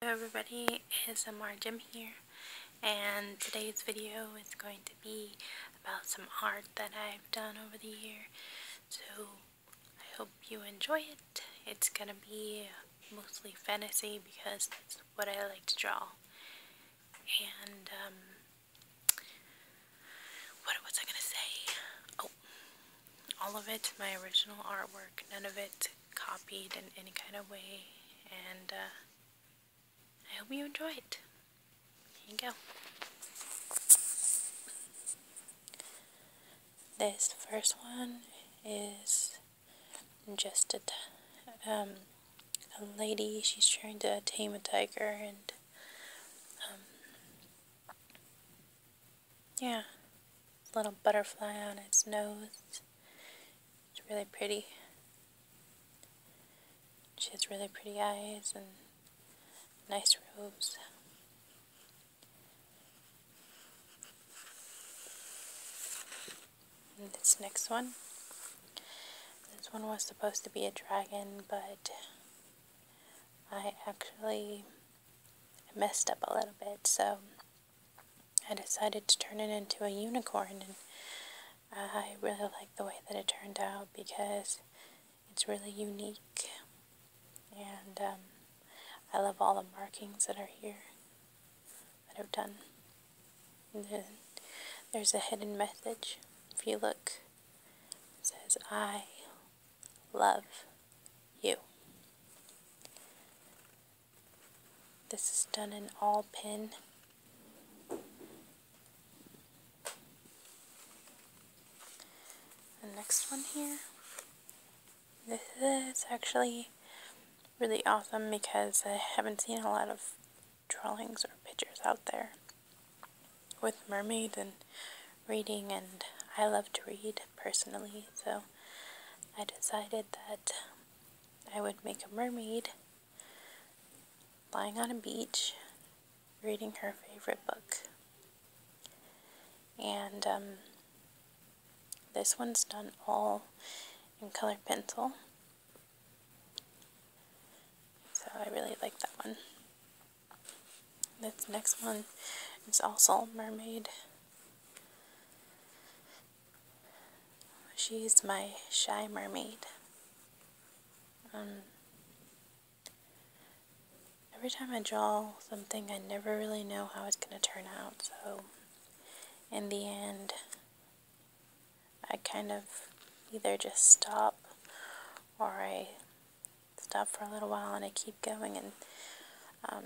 Hello everybody, It's Amar Jim here, and today's video is going to be about some art that I've done over the year, so I hope you enjoy it. It's gonna be mostly fantasy because that's what I like to draw. And, um, what was I gonna say? Oh, all of it, my original artwork. None of it copied in any kind of way. And uh, I hope you enjoy it. Here you go. This first one is just a, um, a lady. She's trying to tame a tiger and um, yeah, little butterfly on its nose. It's really pretty. She has really pretty eyes and nice robes. this next one. This one was supposed to be a dragon, but I actually I messed up a little bit, so I decided to turn it into a unicorn, and I really like the way that it turned out because it's really unique, and um, I love all the markings that are here that I've done. The, there's a hidden message. If you look, it says I love you. This is done in all pin. The next one here, this is actually really awesome because I haven't seen a lot of drawings or pictures out there with mermaid and reading and I love to read personally so I decided that I would make a mermaid lying on a beach reading her favorite book and um, this one's done all in color pencil so I really like that one this next one is also mermaid. She's my shy mermaid. Um, every time I draw something, I never really know how it's going to turn out. So, in the end, I kind of either just stop or I Stop for a little while and I keep going and um,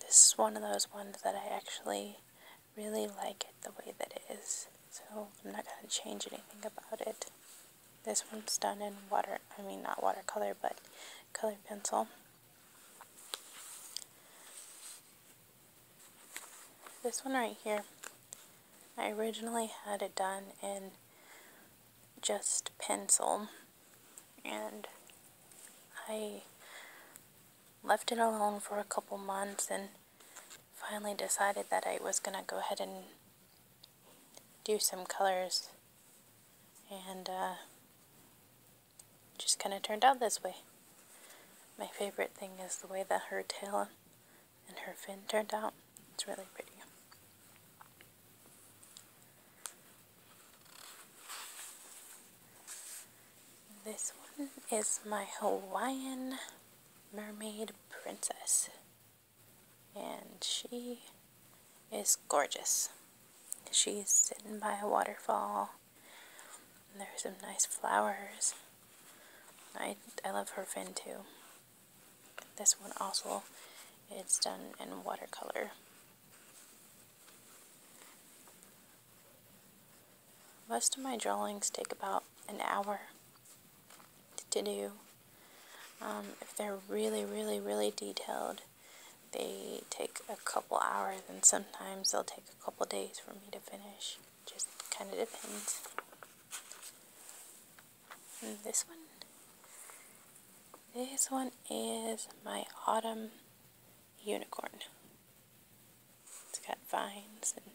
this is one of those ones that I actually really like it the way that it is so I'm not going to change anything about it this one's done in water I mean not watercolor but colored pencil this one right here I originally had it done in just pencil and I left it alone for a couple months and finally decided that I was going to go ahead and do some colors and uh, just kind of turned out this way. My favorite thing is the way that her tail and her fin turned out. It's really pretty. This one is my Hawaiian mermaid princess. And she is gorgeous. She's sitting by a waterfall. There's some nice flowers. I, I love her fin too. This one also it's done in watercolor. Most of my drawings take about an hour to do. Um, if they're really, really, really detailed, they take a couple hours and sometimes they'll take a couple days for me to finish just kind of depends. And this one, this one is my autumn unicorn. It's got vines and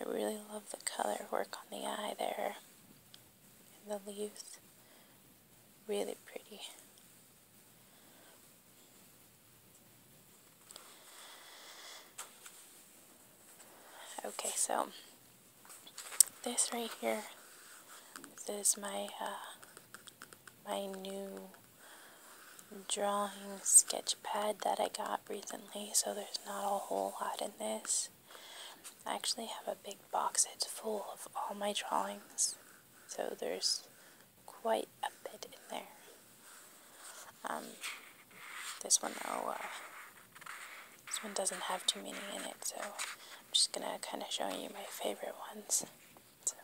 I really love the color work on the eye there and the leaves. Really pretty. Okay, so this right here is my uh, my new drawing sketch pad that I got recently, so there's not a whole lot in this. I actually have a big box that's full of all my drawings. So there's quite a bit in there. Um, this one oh, uh, this one doesn't have too many in it, so I'm just gonna kind of show you my favorite ones. So.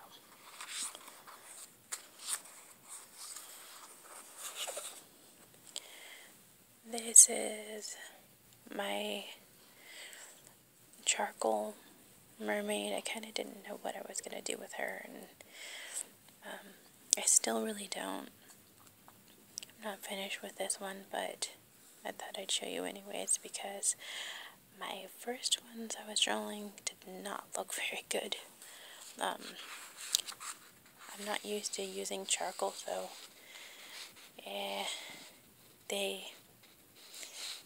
This is my charcoal mermaid. I kind of didn't know what I was going to do with her, and um, I still really don't. I'm not finished with this one, but I thought I'd show you anyways because my first ones I was drawing did not look very good. Um, I'm not used to using charcoal, so eh, they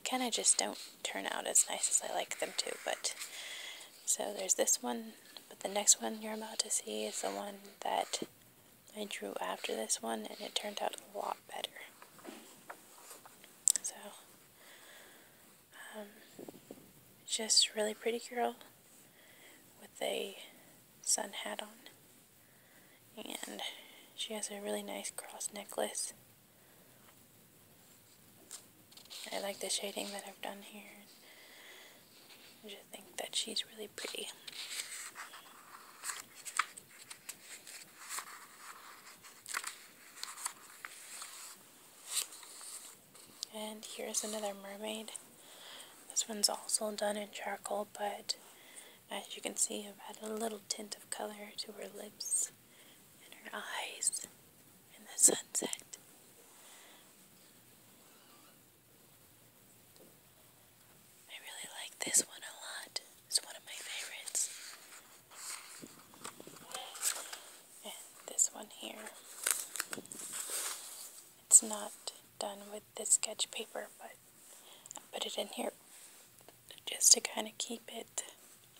kind of just don't turn out as nice as I like them to. But so there's this one, but the next one you're about to see is the one that I drew after this one, and it turned out a lot better. So, um, just really pretty girl with a sun hat on, and she has a really nice cross necklace. I like the shading that I've done here. I just think that she's really pretty. And here's another mermaid. This one's also done in charcoal, but as you can see, I've added a little tint of color to her lips and her eyes and the sunset. I really like this one a lot. It's one of my favorites. And this one here. It's not done with the sketch paper, but I put it in here just to kind of keep it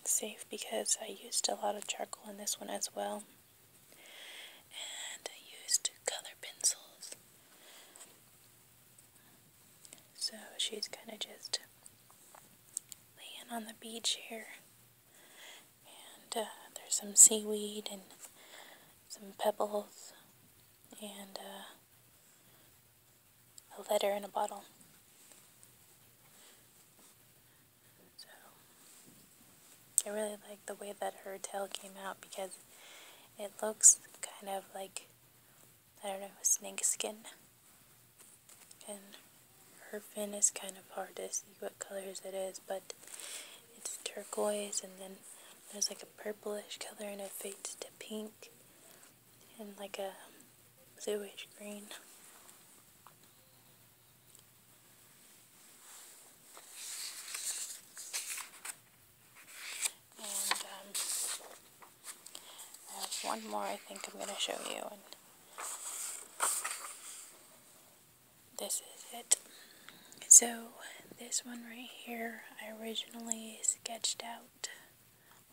safe because I used a lot of charcoal in this one as well and I used color pencils so she's kind of just laying on the beach here and uh, there's some seaweed and some pebbles and uh, a letter in a bottle. So I really like the way that her tail came out because it looks kind of like, I don't know, snake skin. And her fin is kind of hard to see what colors it is, but it's turquoise and then there's like a purplish color and it fades to pink and like a bluish green. And um, I have one more I think I'm going to show you. And this is it. So this one right here I originally sketched out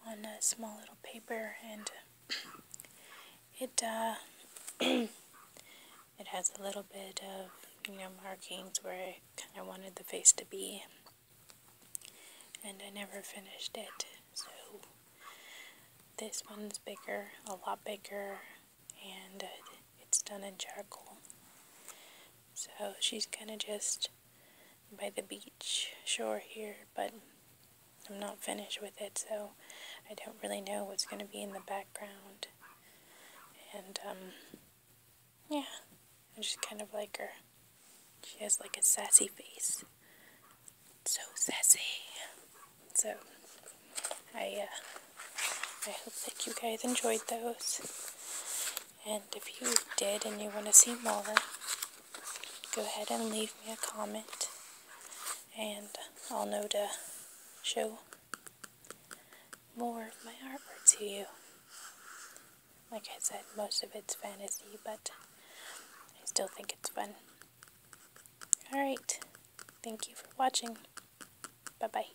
on a small little paper and uh, it uh, it has a little bit of you know markings where I kind of wanted the face to be and I never finished it so this one's bigger a lot bigger and uh, it's done in charcoal so she's gonna just by the beach shore here, but I'm not finished with it, so I don't really know what's going to be in the background. And, um, yeah, I just kind of like her. She has like a sassy face. So sassy. So, I, uh, I hope that you guys enjoyed those. And if you did and you want to see more, go ahead and leave me a comment and I'll know to show more of my artwork to you. Like I said, most of it's fantasy, but I still think it's fun. Alright, thank you for watching. Bye-bye.